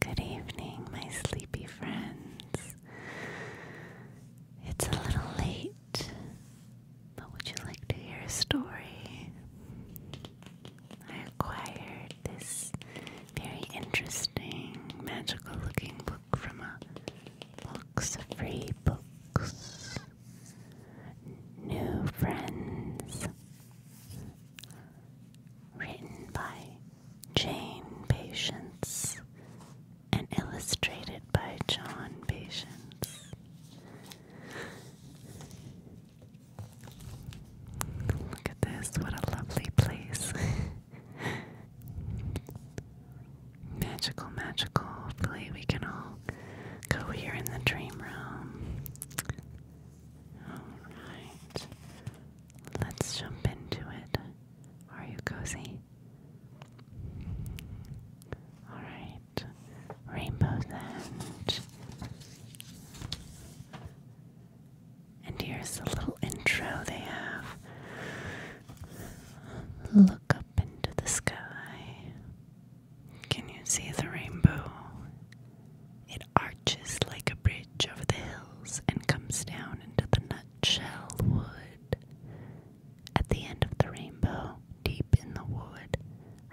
Good evening, my sleepy friends. It's a little late, but would you like to hear a story? I acquired this very interesting, magical looking book from a box of free books New Friends. Written by Jane Patience and illustrated by John Patience. Look at this, what a lovely place! magical, magical. Hopefully, we can all go here in the dream room. Alright. Let's jump into it. Are you cozy? Alright. Rainbow's And here's the little intro they have. Look up into the sky. Can you see the rainbow? It arches like a bridge over the hills and comes down into the nutshell wood. At the end of the rainbow, deep in the wood,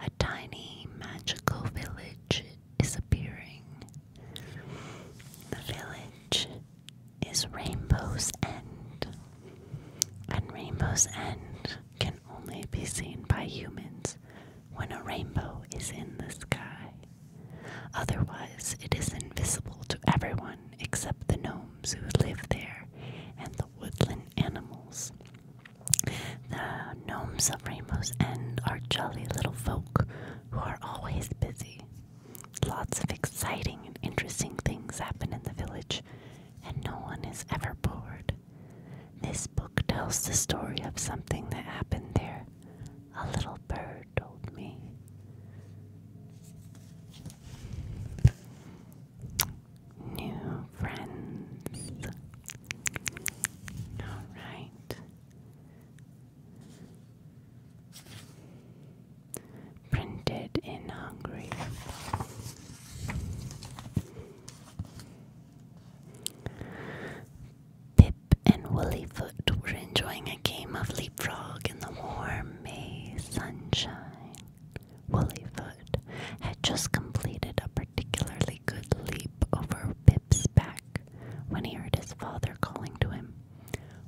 a tiny magical village is appearing. The village is Rainbow's End. And Rainbow's End can only be seen by humans when a rainbow is in the sky. Otherwise, it is invisible to everyone except the gnomes who live there and the woodland animals. The gnomes of Rainbow's End are jolly little folk who are always busy. Lots of exciting and interesting things happen in the village, and no one is ever bored. This book tells the story of something that happened there. A little bird told me. New friends. All right. Printed in Hungary. Pip and Woollyfoot were enjoying a game of leapfrog in the warm May sunshine. Woollyfoot had just completed a particularly good leap over Pip's back when he heard his father calling to him.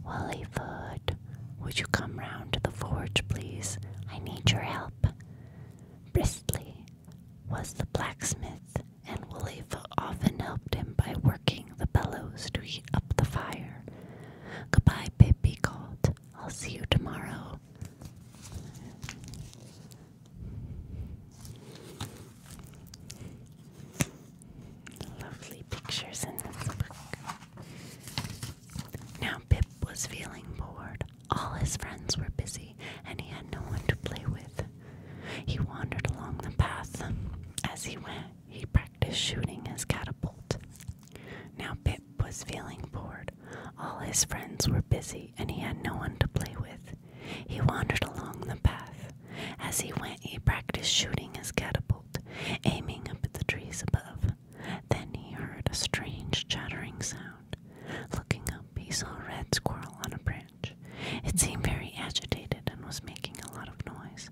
Willyfoot, would you come round to the forge, please? I need your help. Bristly was the blacksmith, and Woollyfoot often helped him by working the bellows to heat up the fire. Goodbye, Pip, called. I'll see you tomorrow. Lovely pictures in this book. Now, Pip was feeling bored. All his friends were busy, and he had no one to play with. He wandered along the path. As he went, he practiced shooting his catapult. Now Pip was feeling bored. All his friends were busy, and he had no one to play with. He wandered along the path. As he went, he practiced shooting his catapult, aiming up at the trees above. Then he heard a strange chattering sound. Looking up, he saw a red squirrel on a branch. It seemed very agitated and was making a lot of noise.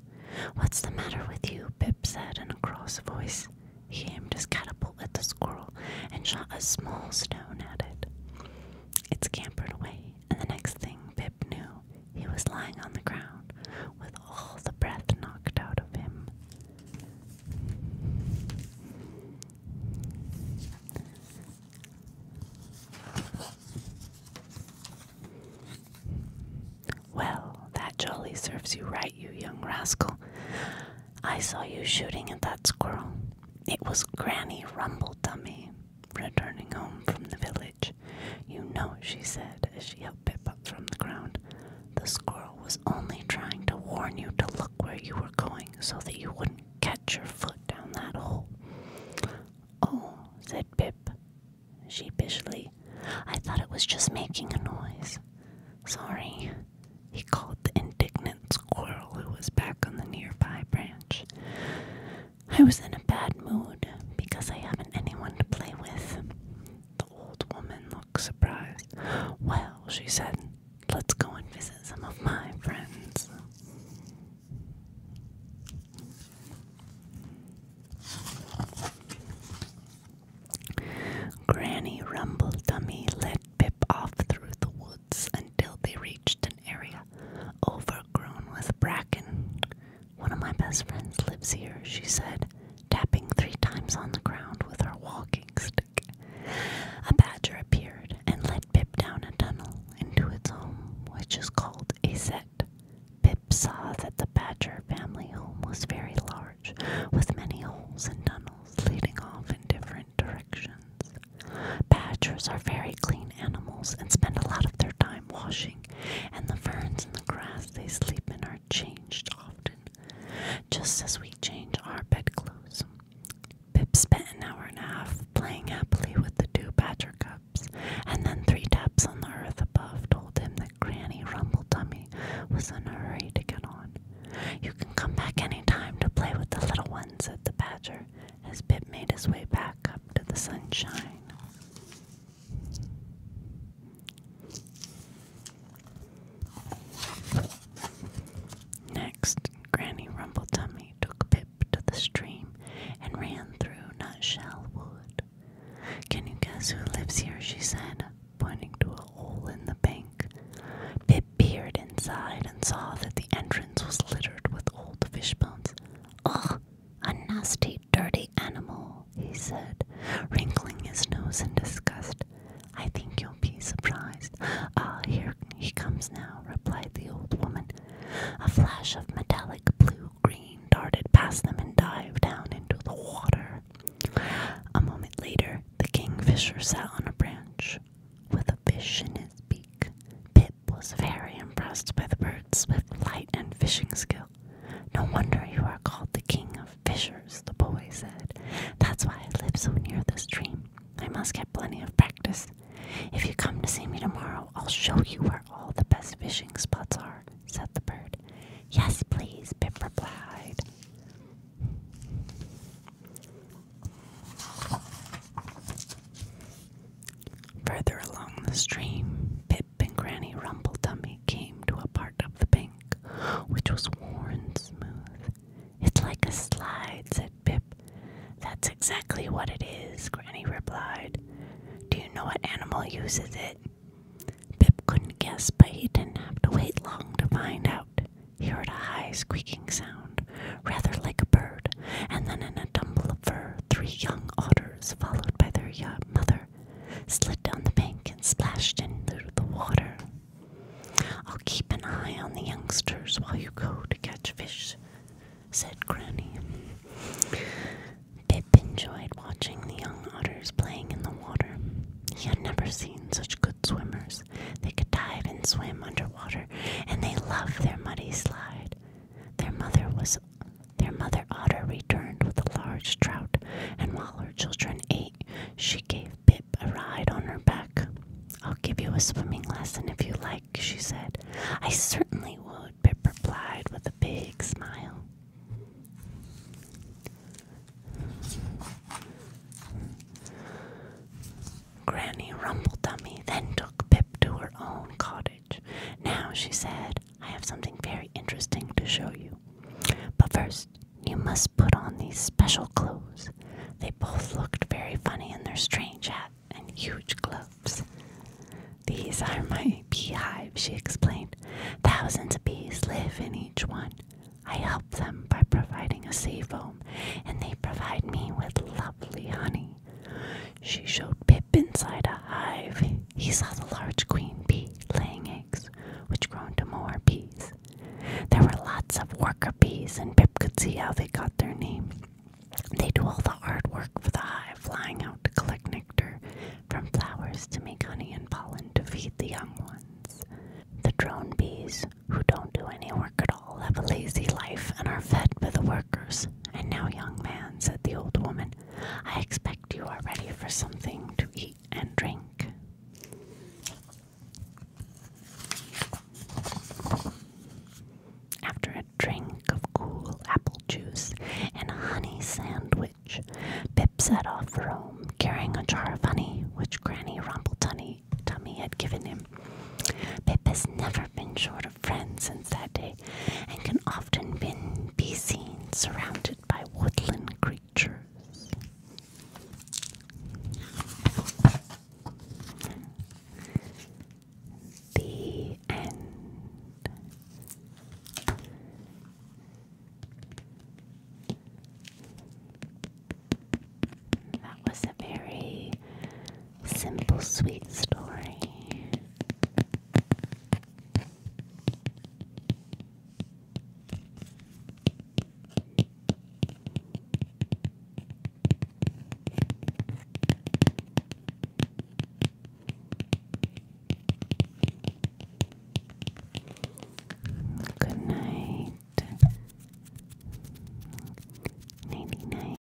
What's the matter with you? Pip said in a cross voice. He aimed his catapult at the squirrel and shot a small stone at it. It scampered away, and the next thing Pip knew, he was lying on the ground with all the breath knocked out of him. Well, that jolly serves you right, you young rascal. I saw you shooting at that squirrel. It was Granny Rumbledummy, returning home from the village. You know, she said as she helped Pip up from the ground. The squirrel was only trying to warn you to look where you were going so that you wouldn't catch your foot down that hole. Oh, said Pip sheepishly. I thought it was just making a noise. Sorry, he called the indignant squirrel who was back on the nearby branch. I was in a bad mood because I haven't anyone to play with. The old woman looked surprised. Well, she said, let's go and visit some of my friends. Granny Rumble Dummy led Pip off through the woods until they reached an area overgrown with bracken. One of my best friends lives here, she said, tapping three times on the ground with her walking stick. A badger appeared and led Pip down a tunnel into its home, which is called a set. Pip saw that the badger family home was very large, with many holes and tunnels leading off in different directions. Badgers are very clean animals and spend a lot of their time washing and the ferns and the grass they sleep in are changed often, just as we change our bedclothes. Pip spent an hour and a half playing happily with the two badger cubs, and then three taps on the earth above told him that Granny Rumble Tummy was in a hurry to get on. You can come back any time to play with the little ones, said the badger, as Pip made his way back up to the sunshine. Next, Granny Rumble Tummy took Pip to the stream and ran through Nutshell Wood. Can you guess who lives here? she said, pointing to a hole in the bank. Pip peered inside and saw that the entrance was littered with old fish bones. Ugh, a nasty dirty animal, he said, wrinkling his nose in disgust. I think you'll be surprised. Ah, here he comes now, replied the old woman. A flash of metallic blue green darted past them and dived down into the water. A moment later, the kingfisher sat on a branch with a fish in his beak. Pip was very impressed by the bird's swift flight and fishing skills. No wonder you are called the king of fishers, the boy said. That's why I live so near the stream. I must get plenty of practice. If you come to see me tomorrow, I'll show you where all the best fishing spots are, said the bird. Yes, please, Pip replied. Further along the stream, Pip and Granny Rumbledummy came to a part of the bank which was worn smooth. It's like a slide, said Pip. That's exactly what it is, Granny replied. Do you know what animal uses it? Pip couldn't guess, but he didn't have to wait long to find out. He heard a high squeaking sound, rather like a bird, and then in a tumble of fur, three young otters, followed by their mother slid down the bank and splashed into the water. I'll keep an eye on the youngsters while you go to catch fish, said Granny. Pip enjoyed watching the young otters playing in the water. He had never seen such good swimmers. They could dive and swim underwater, and they loved their muddy slide. Their mother was their mother otter returned with a large trout, and while her children ate, she gave Pip a ride on her back. I'll give you a swimming lesson if you like, she said. I certainly would, Pip replied with a big smile. Granny Rumble then took Pip to her own cottage. Now, she said, I have something very interesting to show you. But first, you must put on these special clothes. They both looked very funny in their strange hats and huge gloves. These are my beehives, she explained. Thousands of bees live in each one. I help them by providing a safe home, and they provide me with lovely honey. She showed Pip inside a hive. He saw the large queen bee laying eggs, which grown to more bees. There were lots of worker bees, and Pip could see how they got their name. They do all the hard work for the hive, flying out to collect nectar from flowers to make honey and pollen to feed the young ones. The drone bees, who don't do any work at all, have a lazy life and are fed by the workers. And now, young man, said the old woman. I expect you are ready for something to eat and drink. After a drink of cool apple juice and a honey sandwich, Pip set off for home, carrying a jar of honey which Granny Tummy had given him. Pip has never been short of friends since that day and can often be seen surrounded by woodland creatures. The end. That was a very simple, sweet story. Good night. Nighty night.